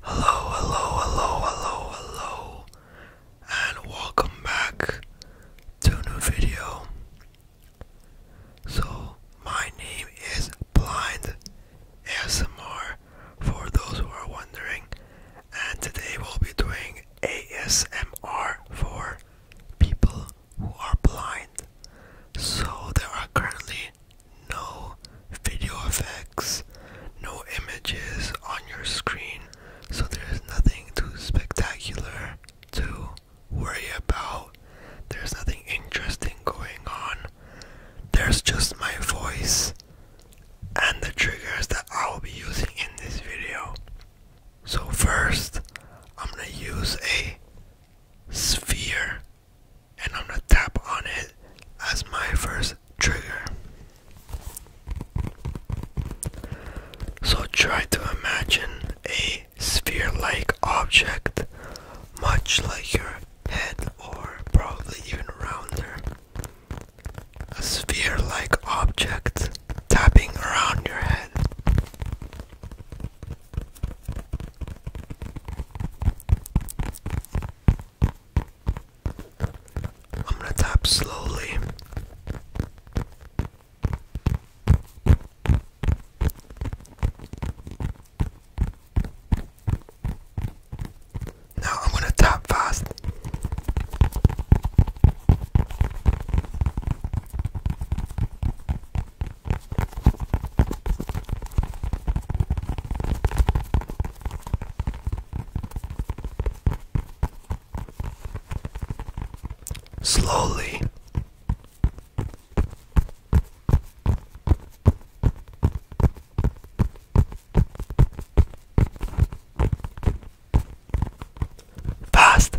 Hello, hello, hello, hello, hello, and welcome back to a new video. So, my name is Blind ASMR for those who are wondering, and today we'll be doing ASMR for people who are blind, so there are currently no video effects, no images on your screen, so there's nothing too spectacular to worry about. There's nothing interesting going on. There's just my voice and the triggers that I will be using in this video. So first, I'm going to use a sphere and I'm gonna tap on it as my first trigger. So try to imagine a sphere like object, much like your head, or probably even rounder. A sphere like object tapping around your head. I'm going to tap slowly. Now I'm going to tap fast. Slowly. Fast.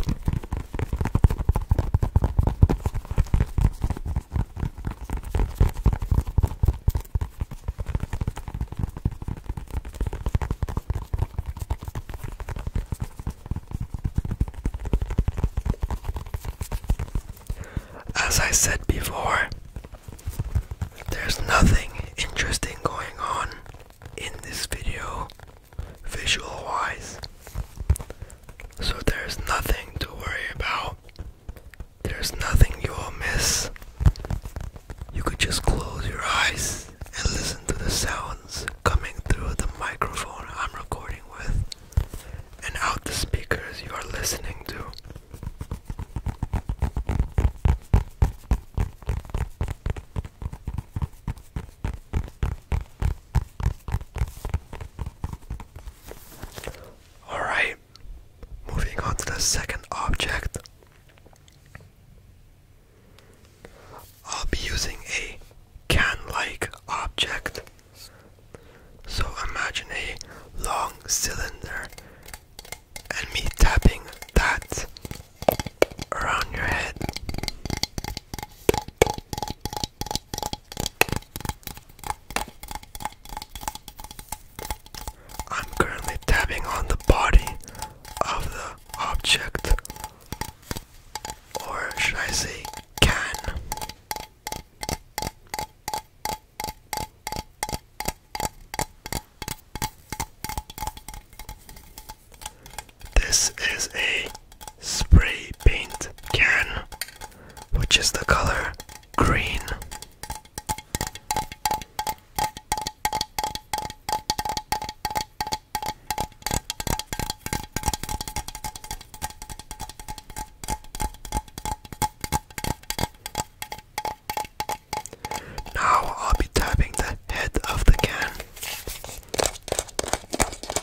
As I said before, there's nothing interesting going on in this video visual wise. So there's nothing to worry about. There's nothing you will miss. You could just close your eyes and listen to the sounds coming through the microphone I'm recording with and out the speakers you are listening to. Alright, moving on to the second object. I'll be using a can like object. So imagine a long cylinder and me tapping that around your head. I'm currently tapping on the body of the object, or should I say, can. This is a spray paint can, which is the color green. Now I'll be tapping the head of the can.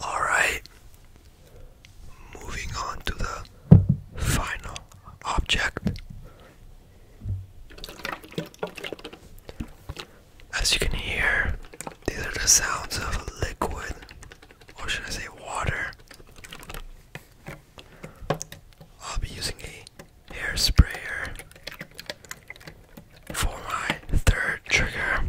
All right, moving on to the final object. As you can hear, these are the sounds of liquid, or should I say water. I'll be using a hair for my third trigger.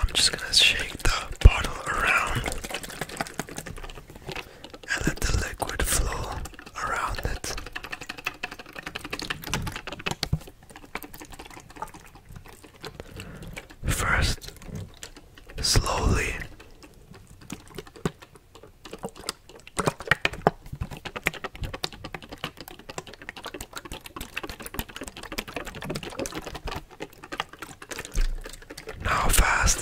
I'm just gonna shake the bottle around and let the liquid flow around it. First, slowly. Now fast.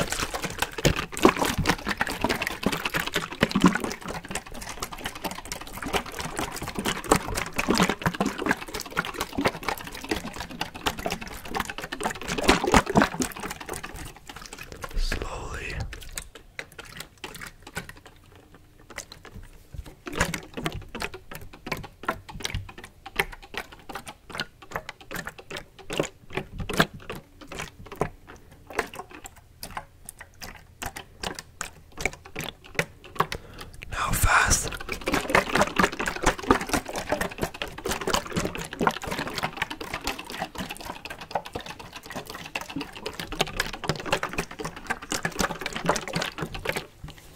Slowly. Now fast.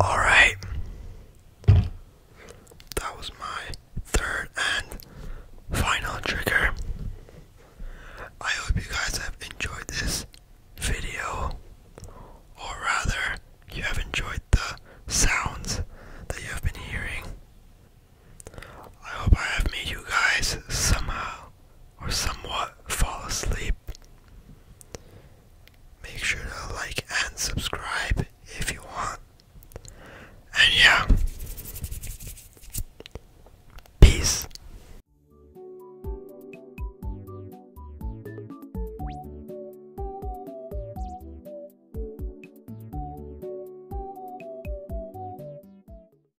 All right. That was my third and final trigger. I hope you guys have enjoyed this video, or rather, you have enjoyed the sounds that you have been hearing. I hope I have made you guys somehow or somewhat fall asleep. Make sure to like and subscribe if you want. And yeah, peace.